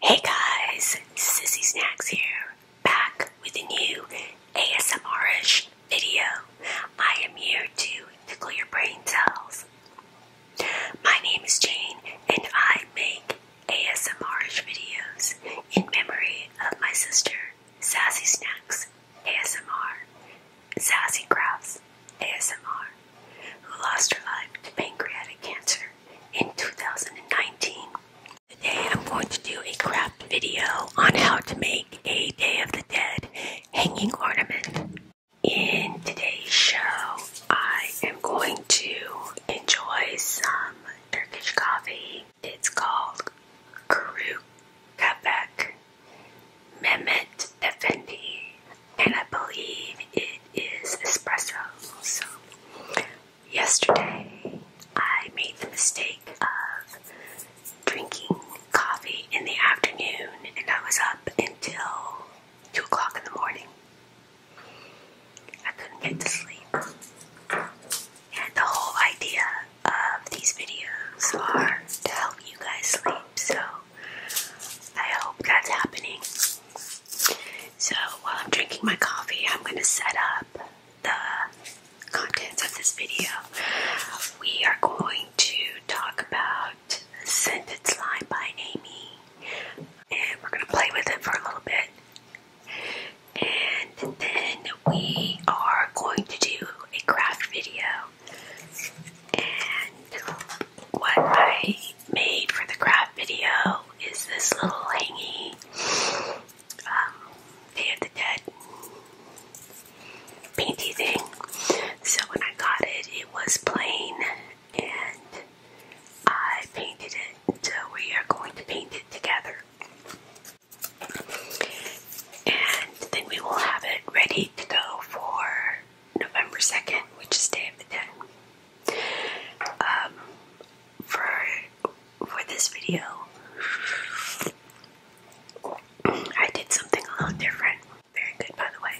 Hey guys, Sassy Snacks here, back with a new ASMRish video. I am here to tickle your brain cells. My name is Jane and I make ASMRish videos in memory of my sister, Sassy Snacks ASMR, Sassy Crafts ASMR, who lost her life to pancreatic cancer in 2019. Today I'm going to do a craft video on how to make a Day of the Dead hanging ornament. In today's show, I am going to enjoy some Turkish coffee. It's called Karuk Quebec Mehmet Effendi, and I believe it is espresso. So, yesterday I made the mistake of drinking coffee in the afternoon, and I was up until 2 o'clock in the morning. I couldn't get to sleep. And the whole idea of these videos are to help you guys sleep, so I hope that's happening. So while I'm drinking my coffee, I'm going to set up the contents of this video. We are going to talk about Sentence Line by Amy, and we're going to play with it for a little bit. And then we are going to do a craft video. And what I made for the craft video is this little hangy um, Day of the Dead painty thing. So when I got it, it was plain and I painted it. we are going to paint it together. And then we will have it ready to go for November 2nd, which is Day of the Dead. Um, for for this video, I did something a little different. Very good, by the way.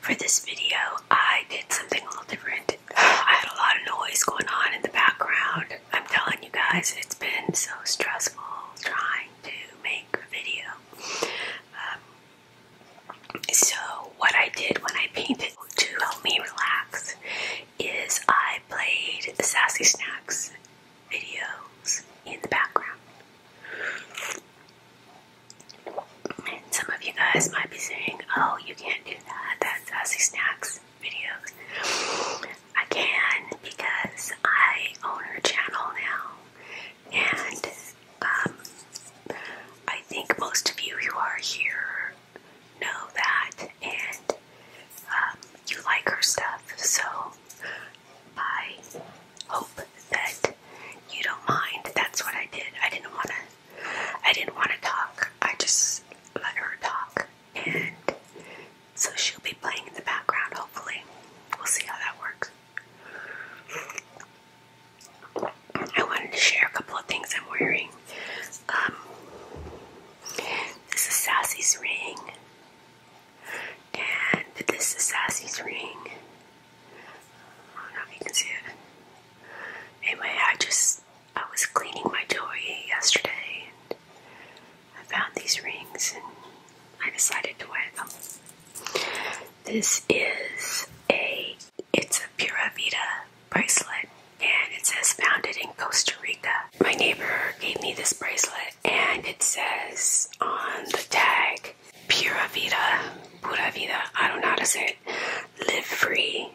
For this video, I did something a little different. I had a lot of noise going on in the background. I'm telling you guys, it's been so stressful trying to make a video. Um, so, what I did when I painted to help me relax is I played the Sassy Snacks videos in the background. And some of you guys might be saying, oh, you can't do that, that's Sassy Snacks videos. I can because I own her channel now. And um, I think most of you who are here know that and um, you like her stuff. So I hope that you don't mind. That's what I did. I didn't want to. I didn't want to talk. I just let her talk, and so she'll be playing in the background. Hopefully, we'll see how that works. I wanted to share a couple of things I'm wearing. Um, this is Sassy's ring, and this is Sassy's ring. I don't know if you can see it. Anyway, I just I was cleaning my toy yesterday, and I found these rings, and I decided to wear them. This is a it's a Puravita bracelet and it says founded in Costa Rica. My neighbor gave me this bracelet and it says on the tag Pura Vida, Pura Vida, I don't know how to say it, live free.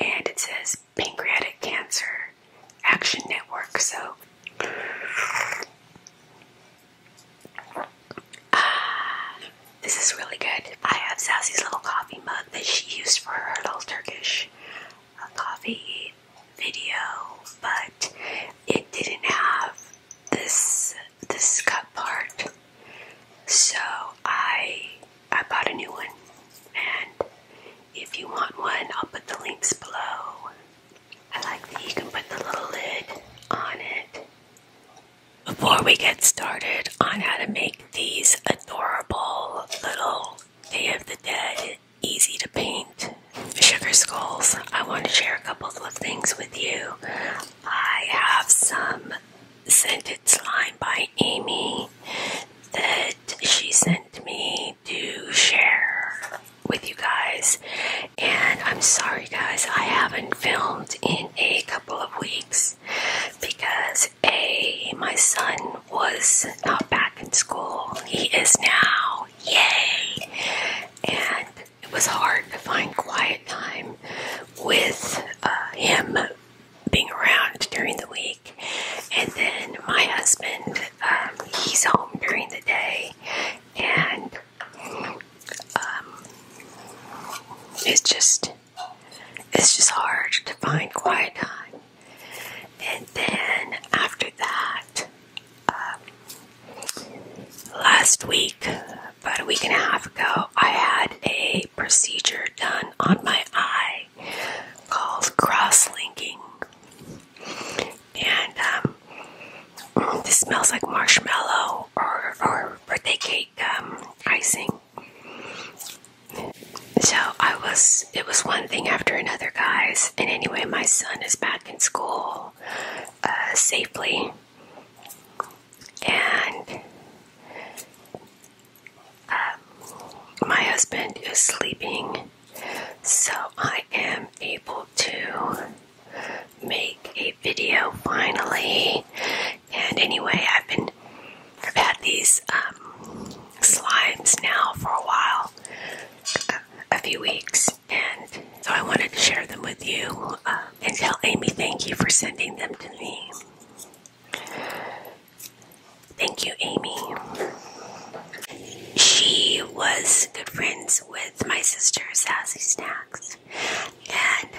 And it says pancreatic cancer action network. So ah, this is really good. I have Sassy's little coffee mug that she used for her little Turkish uh, coffee video, but it didn't have this this cup part. So I I bought a new one, and if you want one, I'll put the links below. I like that you can put the little lid on it. Before we get started on how to make these adorable little Day of the Dead easy to paint sugar skulls, I want to share a couple of things with you. I have some scented slime by Amy that she sent me to share with you guys. And I'm sorry, guys, I haven't filmed in a couple of weeks because a my son was not back in school. He is now. Yay! And it was hard to find quiet time with uh, him being around during the week. And then my husband, um, he's home during the day, and um, it's just it's just hard to find quiet time. And then after that, um, last week, about a week and a half ago, I had a procedure done on my eye called cross linking. And um, this smells like marshmallow or, or birthday cake um, icing. So I was, it was one thing after another, guys. And anyway, my son is back in school uh, safely. And um, my husband is sleeping. So I am able to make a video finally. And anyway, I've been I've had these um, slimes now for a while, a, few weeks, and so I wanted to share them with you uh, and tell Amy thank you for sending them to me. Thank you, Amy. She was good friends with my sister, Sassy Snacks, and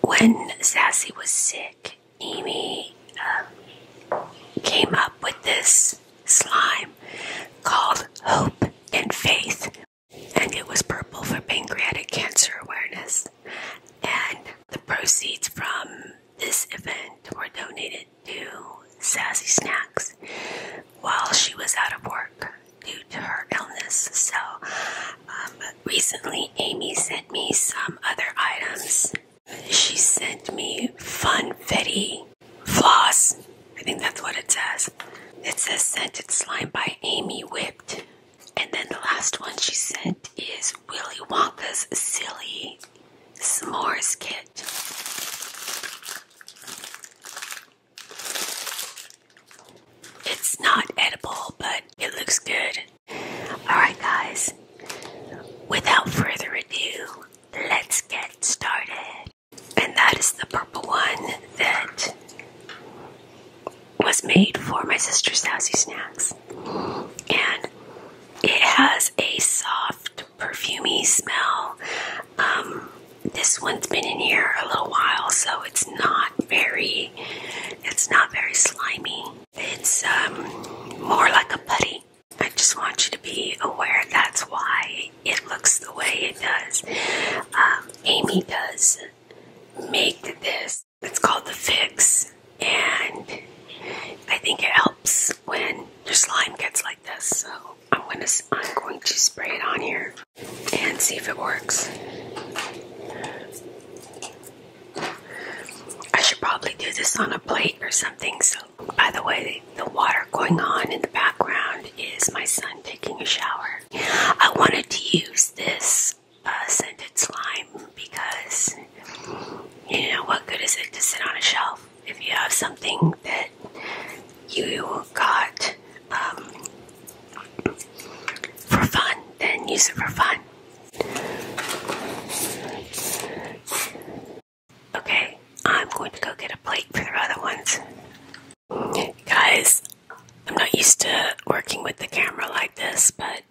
when Sassy was sick, Amy um, came up with this slime called Hope and Faith, and it was purple for pancreatic cancer awareness. And the proceeds from this event were donated to Sassy Snacks while she was out of work due to her illness. So um, recently Amy sent me some other items. She sent me Funfetti Floss. I think that's what it says. It says Scented Slime by Amy Whipped. And then the last one she sent is Willy Wonka's Silly S'mores Kit. It's not edible, but it looks good. Alright, guys, without further ado, let's get started. And that is the purple one that was made for my sister Sassy Snacks. And it has a soft, perfumey smell. Um, this one's been in here a little while, so it's not very, it's not very slimy. It's um, more like a putty. I just want you to be aware that's why it looks the way it does. Um, Amy does make this. It's called the Fix, and I think it helps when your slime gets like this. So I'm gonna, I'm going to spray it on here and see if it works. I should probably do this on a plate or something. So, by the way, the water going on in the background is my son taking a shower. I wanted to use this uh, scented slime because, you know, what good is it to sit on a shelf if you have something that you got um, for fun? Then use it for fun. Okay, I'm going to go get a plate for the other ones. Guys, I'm not used to working with the camera like this, but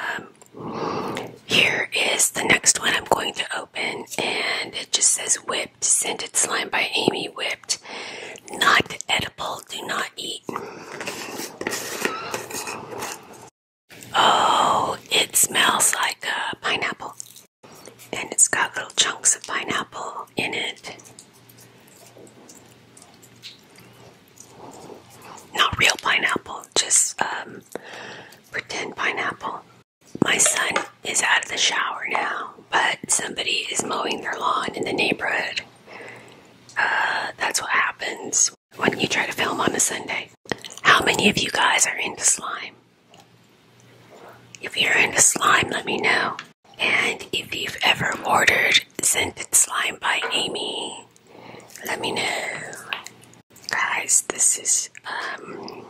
um, here is the next one I'm going to open, and it just says Whipped Scented Slime by Amy Whipped. Not edible, do not eat. Oh, it smells like a uh, pineapple. And it's got little chunks of pineapple in it. Not real pineapple, just um, pretend pineapple. My son is out of the shower now, but somebody is mowing their lawn in the neighborhood. Uh, that's what happens happens when you try to film on a Sunday. How many of you guys are into slime? If you're into slime, let me know. And if you've ever ordered scented slime by Amy, let me know. Guys, this is um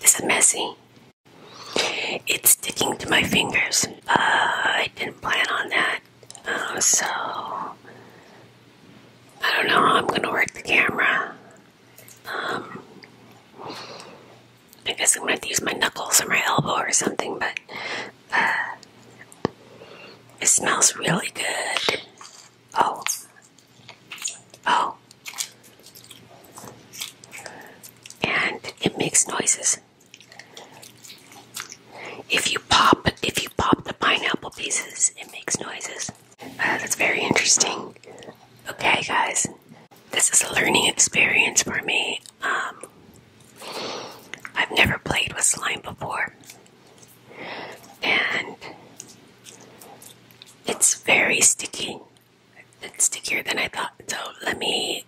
this is messy. It's sticking to my fingers. I didn't plan on that. Oh, so, I don't know I'm going to work the camera. Um, I guess I'm going to use my knuckles or my elbow or something, but uh, it smells really good. Oh. Oh. And it makes noises. If you pop, if you pop the pineapple pieces, it makes noises. Uh, that's very interesting. Okay, guys, this is a learning experience for me. Um, I've never played with slime before, and it's very sticky. It's stickier than I thought. So let me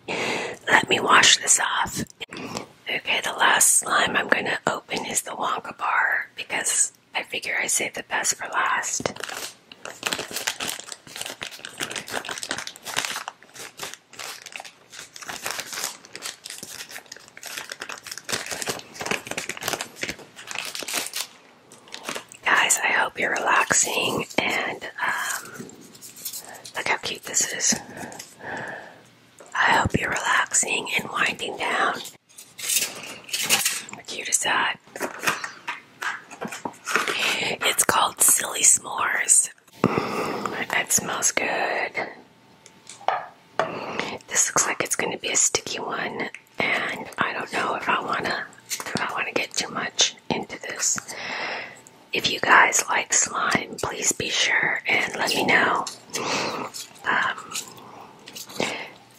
let me wash this off. Okay, the last slime I'm going to open is the Wonka bar because I figure I save the best for last. Guys, I hope you're relaxing and um, look how cute this is. I hope you're relaxing and winding down. You decide. It's called Silly S'mores. that smells good. This looks like it's going to be a sticky one, and I don't know if I want to if I want to get too much into this if you guys like slime, please be sure and let me know. Um,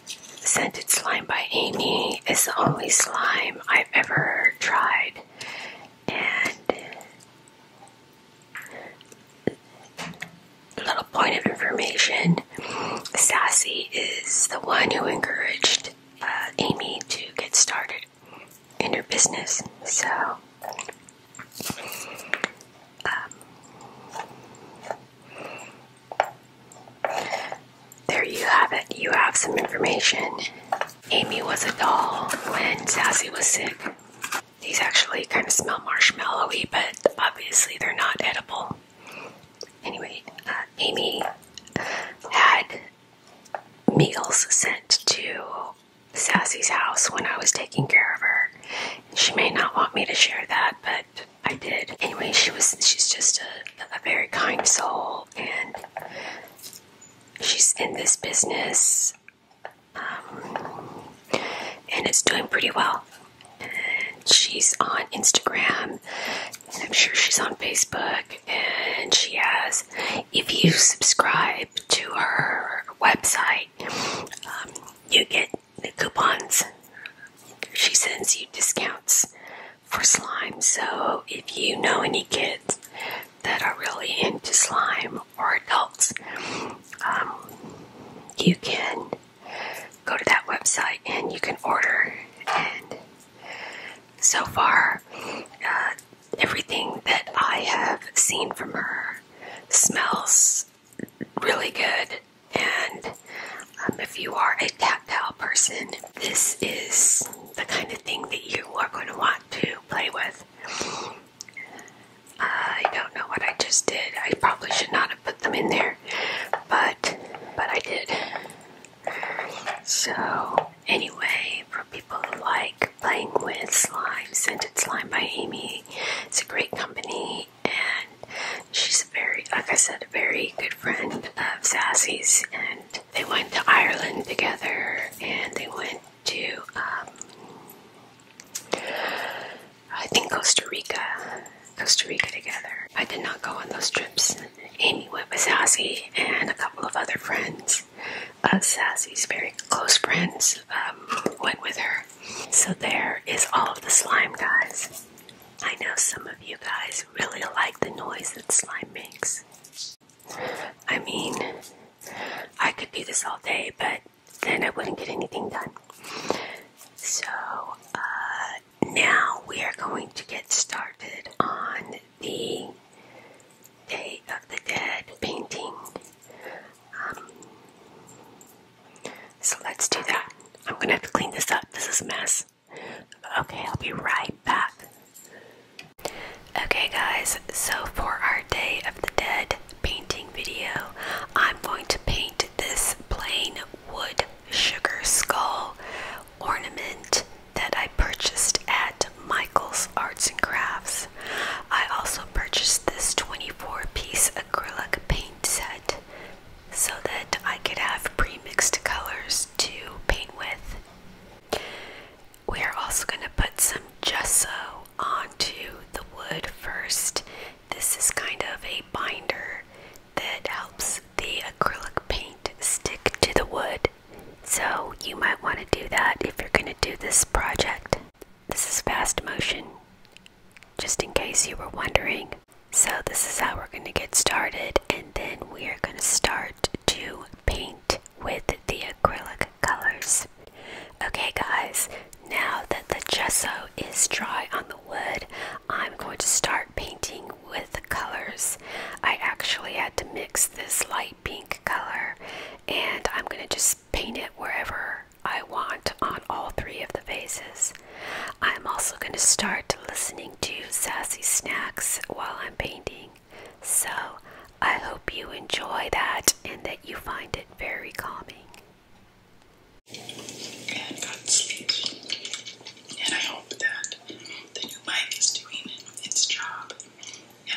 scented Slime by Amy is the only slime I've ever tried, and a little point of information Sassy is the one who encouraged uh, Amy to get started in your business. So, um, there you have it. You have some information. Amy was a doll when Sassy was sick. These actually kind of smell marshmallowy, but obviously they're not edible. Anyway, uh, Amy had meals sent to Sassy's house when I was taking care of her. She may not want me to share that, but I did. Anyway, she was she's just a, a very kind soul and she's in this business um, and it's doing pretty well. And she's on Instagram and I'm sure she's on Facebook and she has if you subscribe to her website um, you get the coupons. She sends you discounts for slime. So if you know any kids that are really into slime or adults, um, you can go to that website and you can order. And so far, uh, everything that I have seen from her smells really good. And um, if you are a tactile person, this is the kind of thing that you are going to want to play with. I don't know what I just did. I probably should not have put them in there, but but I did. So anyway, for people who like playing with slime, scented slime by Amy. It's a great company, and she's a very, like I said, a very good friend of Sassy's. And they went to Ireland together, and they went to, um, I think Costa Rica, Costa Rica together. I did not go on those trips. Amy went with Sassy and a couple of other friends. Sassy's very close friends um, went with her. So there is all of the slime, guys. I know some of you guys really like the noise that slime makes. I mean, I could do this all day, but then I wouldn't get anything done. So, uh, now we are going to get started on the Day of the Dead painting. Um, so let's do that. I'm gonna have to clean this up. This is a mess. Okay, I'll be right back. Okay, guys, so for our Day of the Dead painting video, I'm going to paint this plain wood sugar skull ornament that I purchased at Michael's Arts and Crafts. I also purchased this 24 piece acrylic paint set so that I could have pre mixed colors to paint with. We are also going to put some gesso onto the wood first. This is kind of a binder that helps the acrylic paint stick to the wood. So, you might want to do that if you're going to do this project. This is fast motion, just in case you were wondering. So this is how we're going to get started and then we are going to start to paint with the acrylic colors. Okay guys, now that the gesso is dry on the wood, I'm going to start painting with colors. I actually had to mix this light pink color and I'm going to just paint it wherever I want on all three of the vases. I'm also going to start listening to Sassy Snacks while I'm painting. So I hope you enjoy that and that you find it very calming. And got sleepy. And I hope that the new mic is doing its job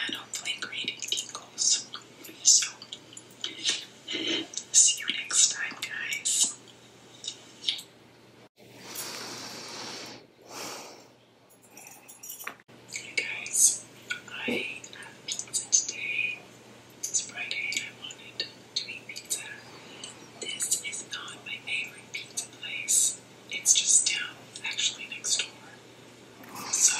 and hopefully creating tingles. So, see you next time, guys. Hey guys, I had pizza today. It's Friday I wanted to eat pizza. This is not my favorite pizza place. It's just down, actually next door. Also,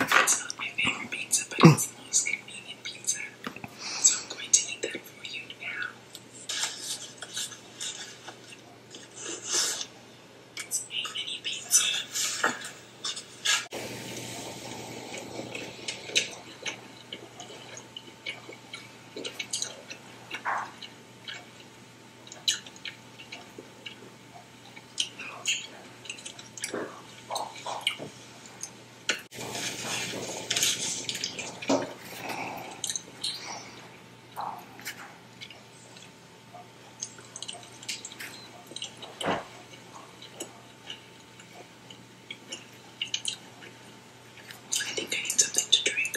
it's not my favorite pizza, but it's the most convenient pizza. So I'm going to eat that for you now. It's a mini pizza. I think I need something to drink.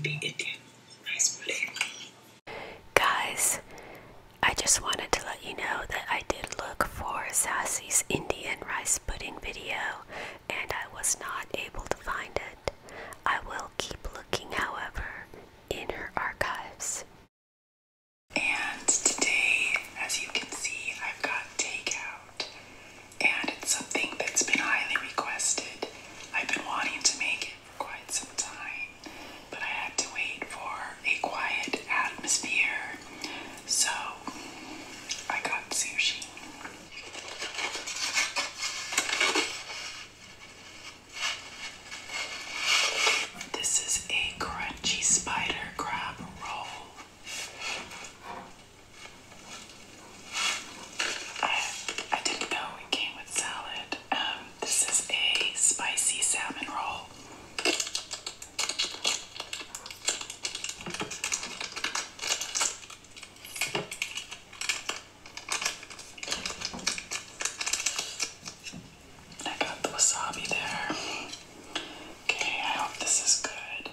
I Guys, I just wanted to let you know that I did look for Sassy's Indian rice pudding video and I was not able to find it. I will keep looking, however, in her archives. And today, as you can see, I've got takeout and it's something that's been highly requested. I've been wanting to make it for quite some time, but I had to wait for a quiet atmosphere, so I got sushi. This is a crunchy spider crab roll. I, didn't know it came with salad. Um, this is a spicy salmon roll. I got the wasabi there. Okay, I hope this is good.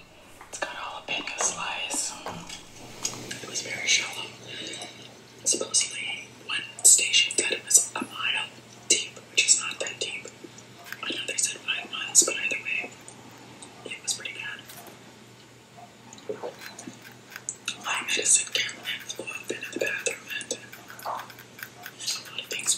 It's got jalapeno slice. It was very shallow. Supposedly, one station said it was a mile deep, which is not that deep. Another said five miles, but either way, it was pretty bad. My medicine cabinet blew up into the bathroom and a lot of things.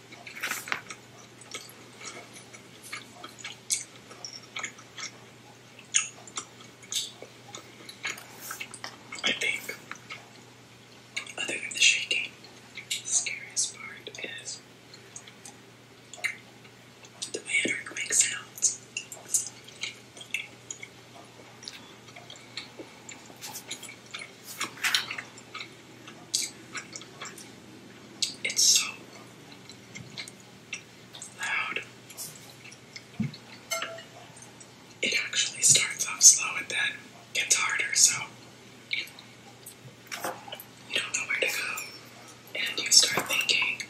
I think, other than the shaking, the scariest part is the way an earthquake sounds. It's so loud. It actually starts off slow and then gets harder, so you don't know where to go. And you start thinking,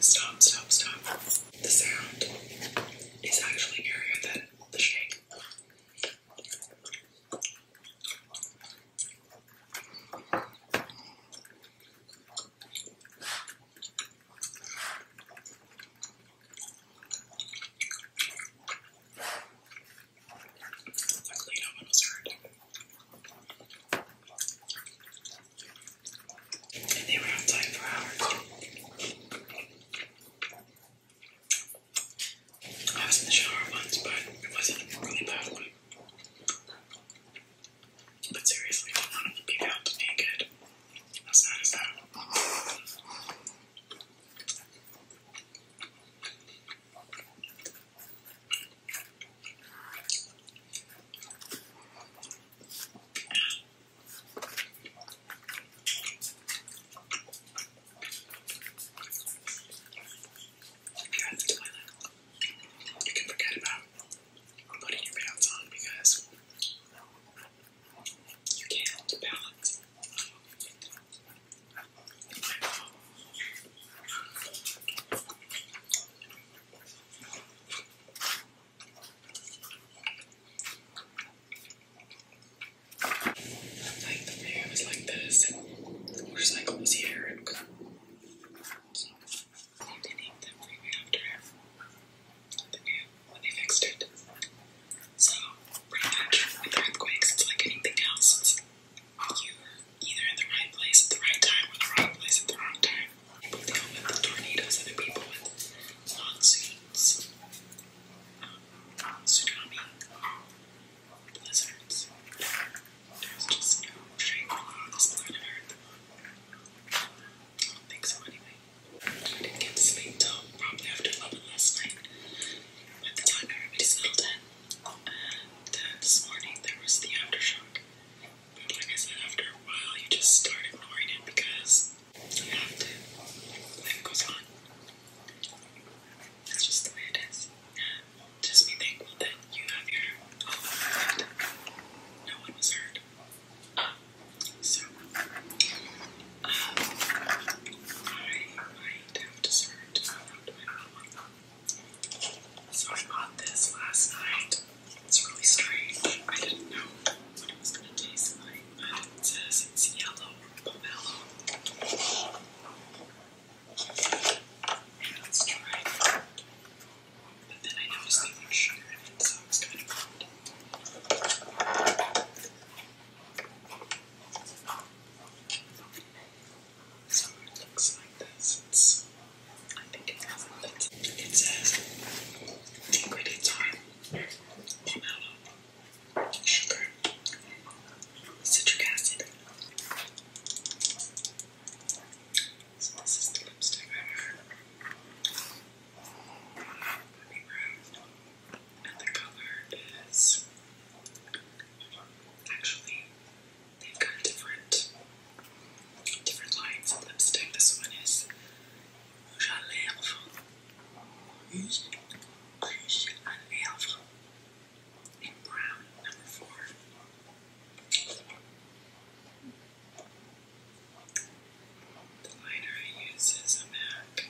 stop, stop, stop. The sound is actually eerie than the shake. Luckily, no one was hurt. And they were on time for hours. I was in the shower once, but it wasn't a really bad one. But seriously, none of the people helped me naked. How sad is that? If you're at forget about putting your pants on because you can't balance. Like the man was like this, and the motorcycle was here, and so they named them Freeway after him. The new when they fixed it. So pretty much with earthquakes, it's like anything else. you're either in the right place at the right time or the wrong place at the wrong time. People deal with tornadoes, other people with monsoons. Um, tsunami, blizzards. There's just no tranquil on this planet Earth. I don't think so, anyway. I didn't get to sleep till probably after 11 last night. By the time everybody settled in, this morning there was the aftershock. But like I said, after a while you just start ignoring it because you have to. goes on. That's just the way it is. Just be thankful that you have your all left. No one was hurt. so, uh, I might have dessert around my mom. So I bought this last night. It's really strange. I didn't know what it was going to taste like. It says it's yellow pomelo. Let's try But then I noticed they sugar in it, so it's kind of hard. So it looks like this. It's, I think it has a lid. It says the ingredients are sugar, citric acid. So this is the lipstick And the color is actually they've got different different lines of lipstick. This one is Rouge à lèvres. Used Gush and Elf in brown, number four. The liner I use is a MAC.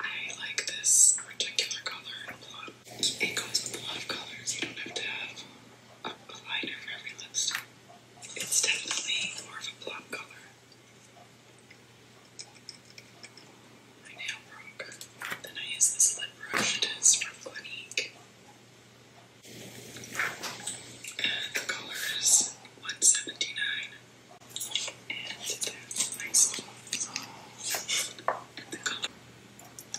I like this particular color plum. It goes with a lot of colors. You don't have to have a liner for every lipstick. It's definitely more of a plum color. My nail broke. Then I use this lip brush. It is from Clinique. And the color is 179. And that's nice. the color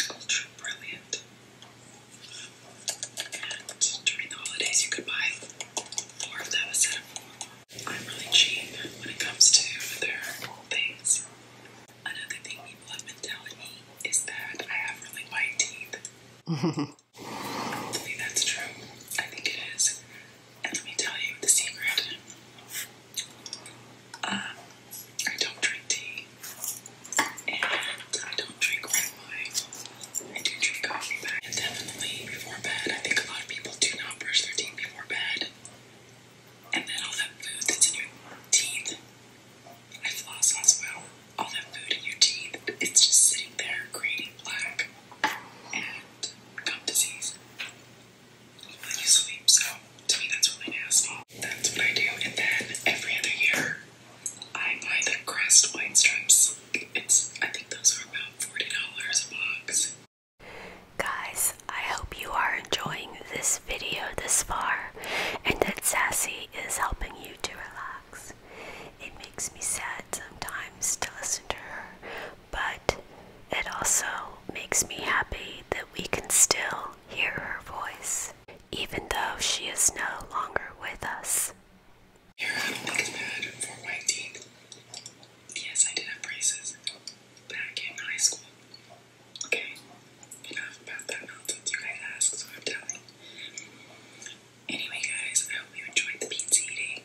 ultra brilliant. And during the holidays you could buy four of them instead of four. I'm really cheap when it comes to their things. Another thing people have been telling me is that I have really white teeth. I think that's true. I think it is. And let me tell you the secret. Um, I don't drink tea. And I don't drink wine. I do drink coffee, and definitely before bed, I think a lot of people do not brush their teeth more bad. And then all that food that's in your teeth. I floss as well. All that food in your teeth, it's just sitting there creating plaque and gum disease while you sleep. So to me, that's really nasty. That's what I do. And then every other year, I buy the Crest wine strips. It's I think those are about forty dollars a box. Guys, I hope you are enjoying this video this far and that Sassy is helping you to relax. It makes me sad sometimes to listen to her, but it also makes me happy that we can still hear her voice, even though she is no longer with us. Yes, I did have braces back in high school. Okay, enough about that nonsense. You guys ask, so I'm telling. Anyway, guys, I hope you enjoyed the pizza eating.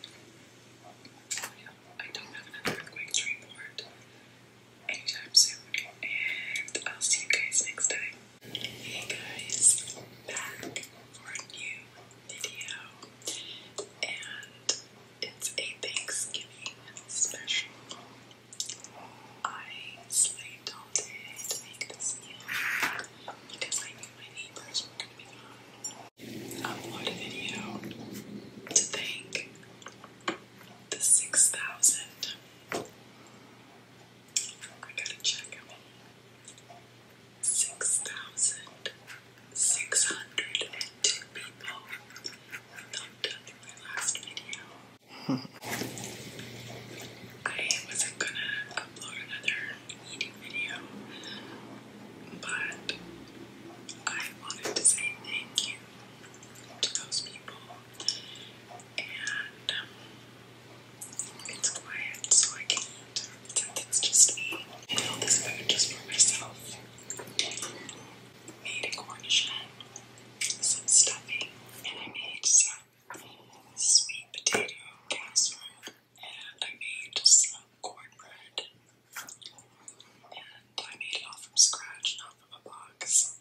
I don't have another earthquake to report anytime soon, and I'll see you guys next time. Hey guys, back for a new video, and it's a Thanksgiving special. I slaved all day to make this meal because I knew my neighbors were going to be gone. Upload video to thank the 6,000. I gotta check how many. 6,000 602 people thumbed up my last video. I wasn't gonna upload another eating video, but I wanted to say thank you to those people, and um, it's quiet, so I can't. Since just me, I this food just for myself made a cornichon, some stuffing, and I made some sweet potato casserole, and I made some cornbread, and I made it all from scratch, not from a box.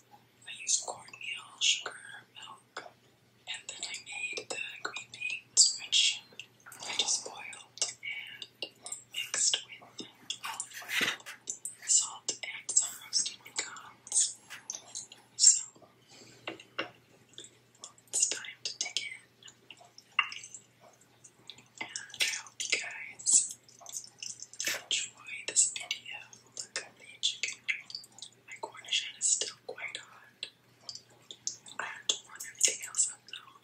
I used cornmeal, sugar, milk, and then I made the green beans, which I just boiled, and mixed with olive oil, salt, and some roasted pecans. So, it's time to dig in. And guys enjoy this video. Look the chicken. My cornichon is still quite hot. I have to warm everything else up though.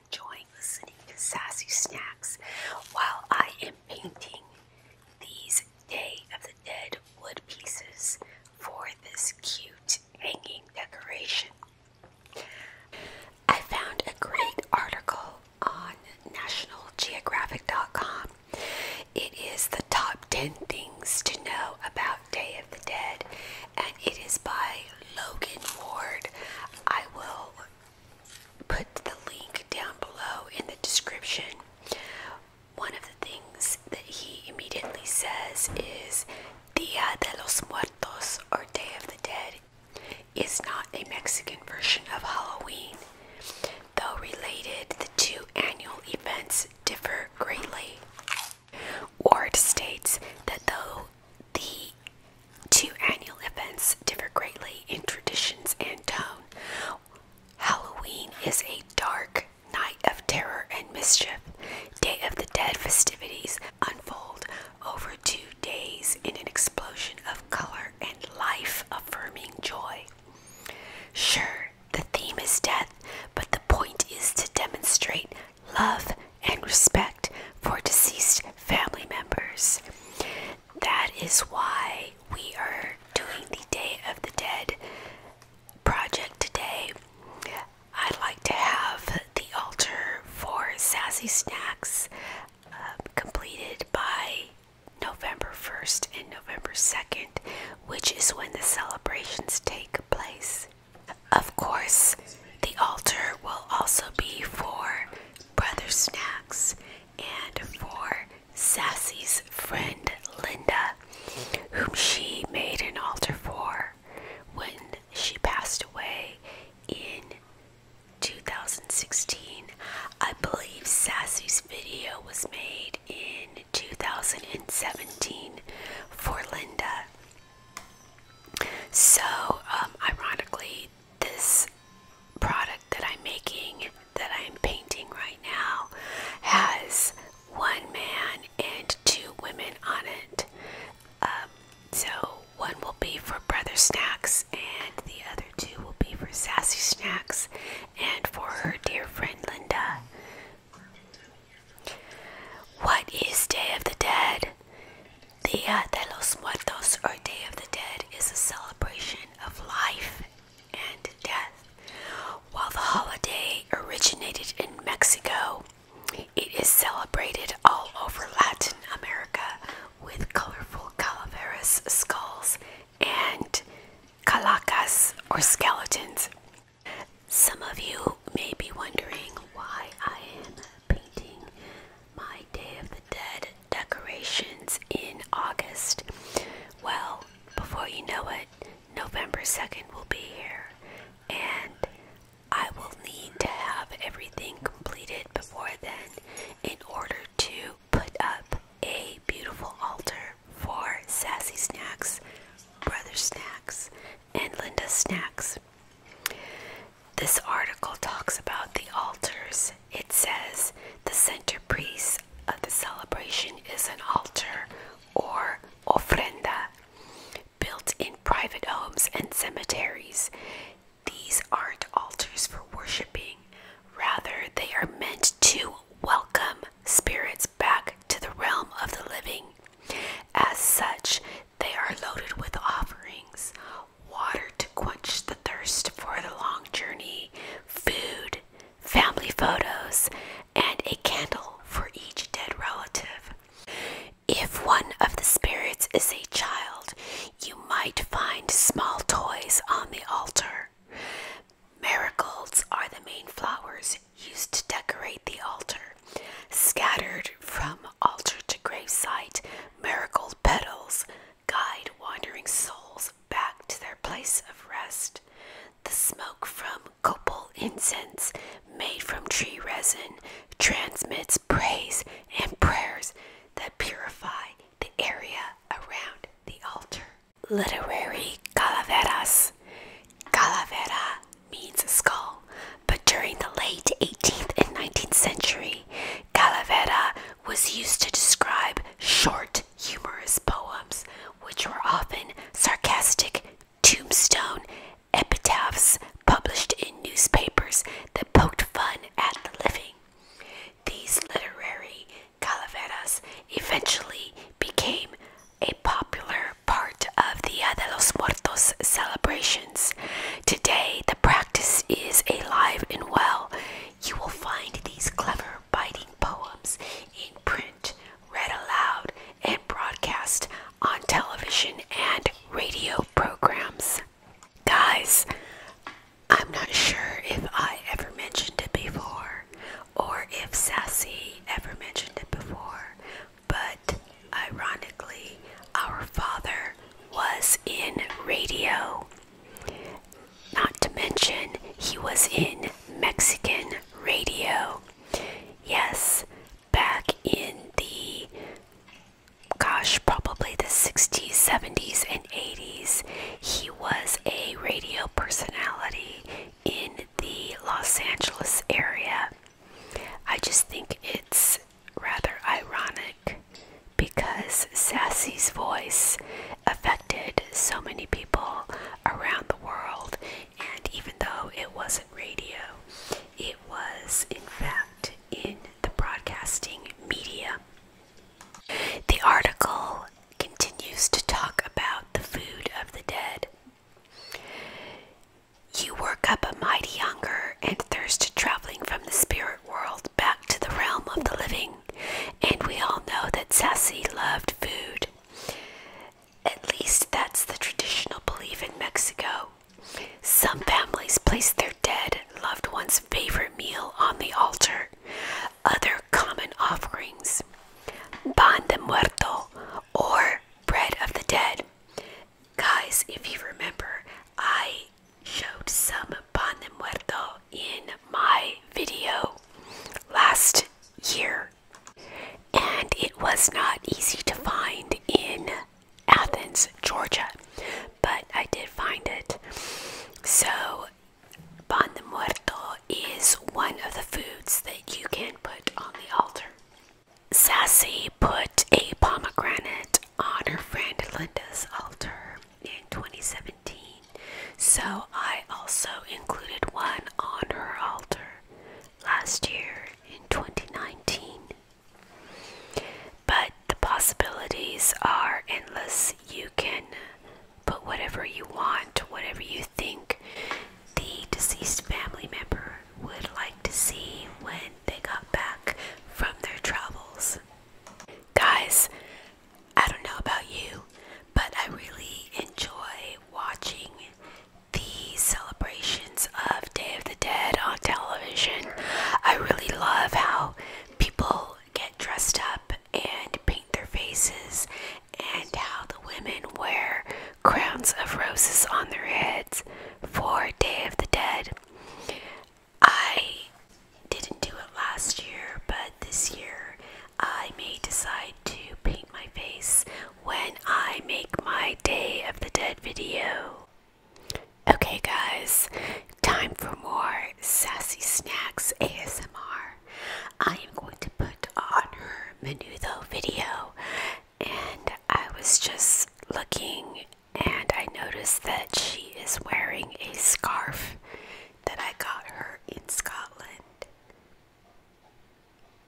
enjoying listening to Sassy Snacks while I am painting these Day of the Dead wood pieces for this cute hanging decoration. I found a great article on National nationalgeographic.com. It is the top 10 things to know about Day of the Dead, and it is by Logan Ward. I will put the link down below in the description. One of the things that he immediately says is Dia de los Muertos or Day of the Dead is not a Mexican version of Halloween. Though related, the two annual events differ greatly. Ward states that though the two annual events differ greatly in traditions and tone. Halloween is a dark night of terror and mischief. Day of the Dead festivities unfold over two days in an explosion of color and life affirming joy. Sure, the theme is death, but the point is to demonstrate love and respect for deceased family members that is why we are doing the Day of the Dead project today. I'd like to have the altar for Sassy Snacks um, completed by November 1st and November 2nd, which is when the celebrations take place. Of course, the altar will also be for Brother Snacks, and for Sassy's friend Linda, whom she made an altar for when she passed away in 2016. I believe Sassy's video was made in 2017 for Linda. So, um, ironically, this product that I'm making, that I'm painting right now, has one man and two women on it. Um, so one will be for Brother Snacks, and the other two will be for Sassy Snacks and for her dear friend Linda. What is Day of the Dead? dead. Dia uh, de los Muertos, or Day of the Dead, is a celebration of life and death. While the holiday originated in Mexico, it is celebrated all over Latin America with colorful calaveras skulls and calacas or skeletons. Some of you may be wondering why I am painting my Day of the Dead decorations in August. Well, before you know it, November 2nd will be here, and I will need to have everything completed before then in order to put up a beautiful altar for Sassy Snacks, Brother Snacks, and Linda Snacks. This article talks about the altars. It says the centerpiece of the celebration is an altar or ofrenda built in private homes and cemeteries. These aren't altars for worshiping, rather, they are meant to welcome spirits back to the realm of the living. As such, they are loaded with offerings, water to quench the thirst for the long journey, food, family photos, and a candle for each dead relative. If one of the spirits is a child, you might find small toys on the altar. Marigolds are the main flowers used to decorate the altar. Scattered from altar to gravesite, marigold petals guide wandering souls back to their place of rest. The smoke from copal incense made from tree resin transmits praise and prayers that purify the area around the altar. Literary calaveras. Calavera means skull, but during the late 18th and 19th century, calavera was used to describe short, humorous poems, which were often sarcastic tombstone epitaphs published in newspapers that poked fun at the living. These literary calaveras eventually became a popular part of the Dia de los Muertos celebration. Today, the practice is alive and well. You will find these clever, biting poems in print, read aloud, and broadcast on television and radio programs. Guys, I'm not sure if I ever mentioned it before or if Sassy ever mentioned it before, but ironically, our Father was in radio. Not to mention, he was in Mexican radio. Yes, back in the gosh, probably the 60s, 70s, and 80s, he was a radio personality in the Los Angeles area. I just think it's rather ironic because Sassy's voice affected so many people around the world, and even though it wasn't radio, it was in fact in the broadcasting media. The article continues to talk about the food of the dead. You work up a mighty hunger and thirst traveling from the spirit world back to the realm of the living, and we all know that Sassy loved food. At least that's the traditional belief in Mexico. Some families place their dead loved one's favorite meal on the altar. Other common offerings, pan de muerto, or bread of the dead. Guys, if you remember, I showed some pan de muerto in my video last year, and it was not easy to find in Athens, Georgia, but I did find it. So, pan de muerto is one of the foods that you can put on the altar. Sassy put a pomegranate on her friend Linda's altar in 2017, so I also included one on her altar last year in 2019. But the possibilities are endless. You can put whatever you want, whatever you think the deceased family member would like to see when they got back from their travels. Guys, I don't know about you, but I really enjoy watching the celebrations of Day of the Dead on television. I really love how people get dressed up and paint their faces, and how the women wear crowns of roses on their heads for Day of the Dead. I didn't do it last year, but this year I may decide to paint my face when I make my Day of the Dead video. Okay, guys, time for more Sassy Snacks ASMR. I am going to put on her Menudo video, and I was just looking and I noticed that she is wearing a scarf that I got her in Scotland.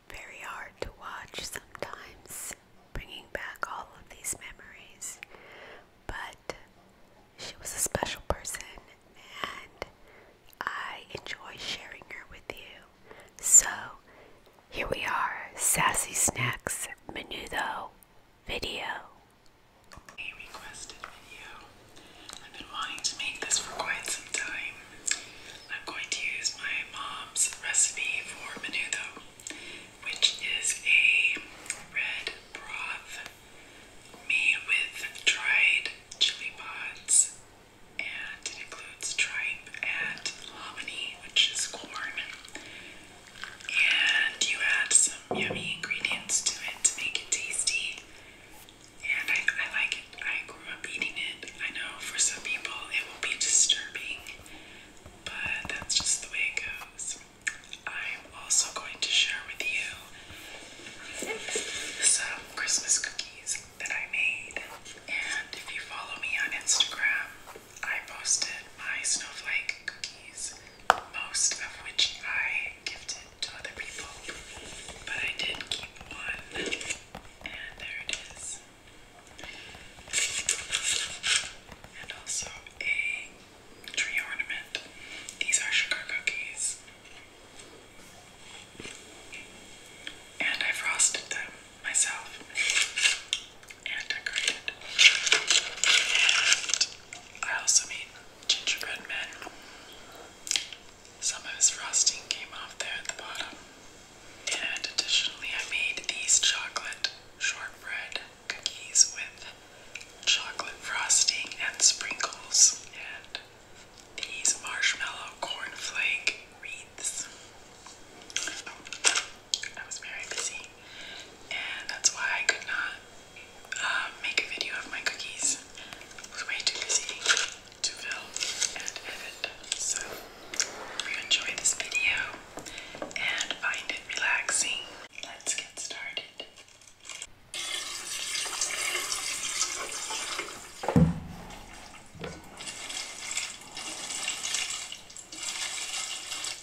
Very hard to watch sometimes, bringing back all of these memories, but she was a special person and I enjoy sharing her with you. So here we are Sassy Snacks menu though video. A requested video. I've been wanting to make this for quite some time. I'm going to use my mom's recipe for menudo, which is a red broth made with dried chili pods, and it includes tripe and hominy, which is corn and you add some yummy ingredients to it to make it tasty. And I, I like it. I grew up eating it. I know for some people it will be disturbing, but that's just the way it goes. I'm also going to share with you some Christmas cookies that I made. And if you follow me on Instagram, I posted my snowflake cookies, most of which I gifted to other people, but I did keep one, and there it is. And also a tree ornament. These are sugar cookies. And I frosted them myself and decorated. I also made gingerbread men. Some of his frosting came off there at the bottom. And additionally, I made these chocolate shortbread cookies with chocolate frosting and sprinkles, and these marshmallow cornflake wreaths. I was very busy and that's why I could not uh, make a video of my cookies. It was way too busy to film and edit. So, if you enjoy this video and find it relaxing, let's get started.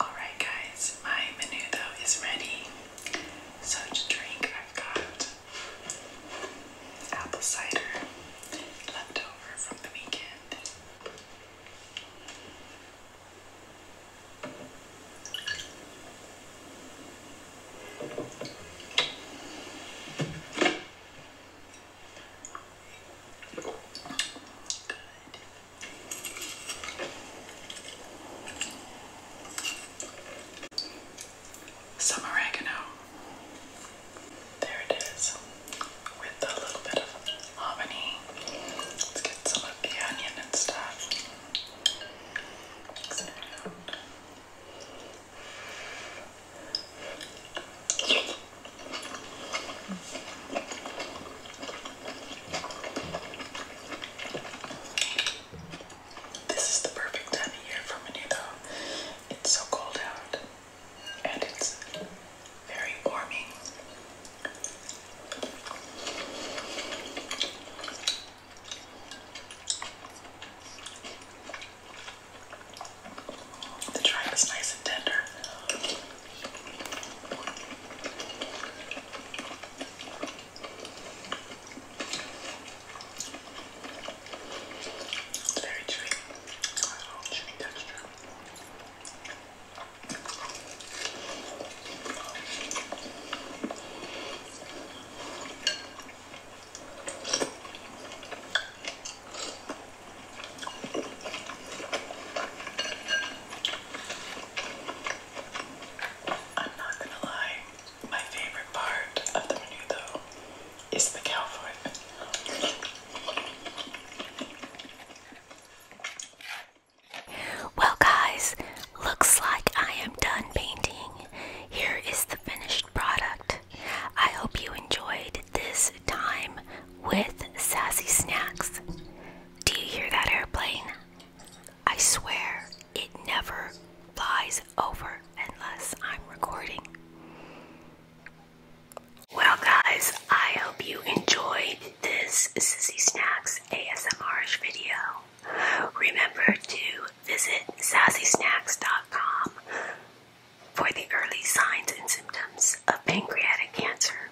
Alright guys, my menudo is ready. So to drink I've got apple cider left from the weekend. Good some oregano. There it is, with a little bit of hominy. Let's get some of the onion and stuff. This is the perfect time of year for me though. It's so cold out and it's very warming. The tripe is nice and tender. It's very chewy. it little chewy texture. not gonna lie, my favorite part of the menu though is the cow foot. Well, guys, looks like I am done painting. Here is the finished product. I hope you enjoyed this time with Sassy Snacks. Do you hear that airplane? I swear it never flies over unless I'm recording. Well, guys, I hope you enjoyed this Sassy Snacks ASMR video. Remember to visit sassysnacks.com for the early signs and symptoms of pancreatic cancer.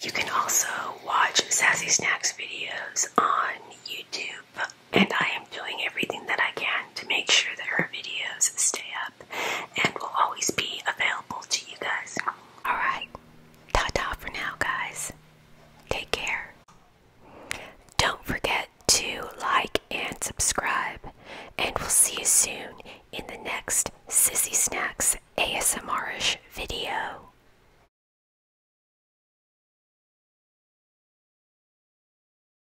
You can also watch Sassy Snacks videos on YouTube and I am doing everything that I can to make sure that her videos stay up and will always be available to you guys. Alright, ta ta for now, guys. Take care. Don't forget to like and subscribe, and we'll see you soon in the next Sissy Snacks ASMRish video.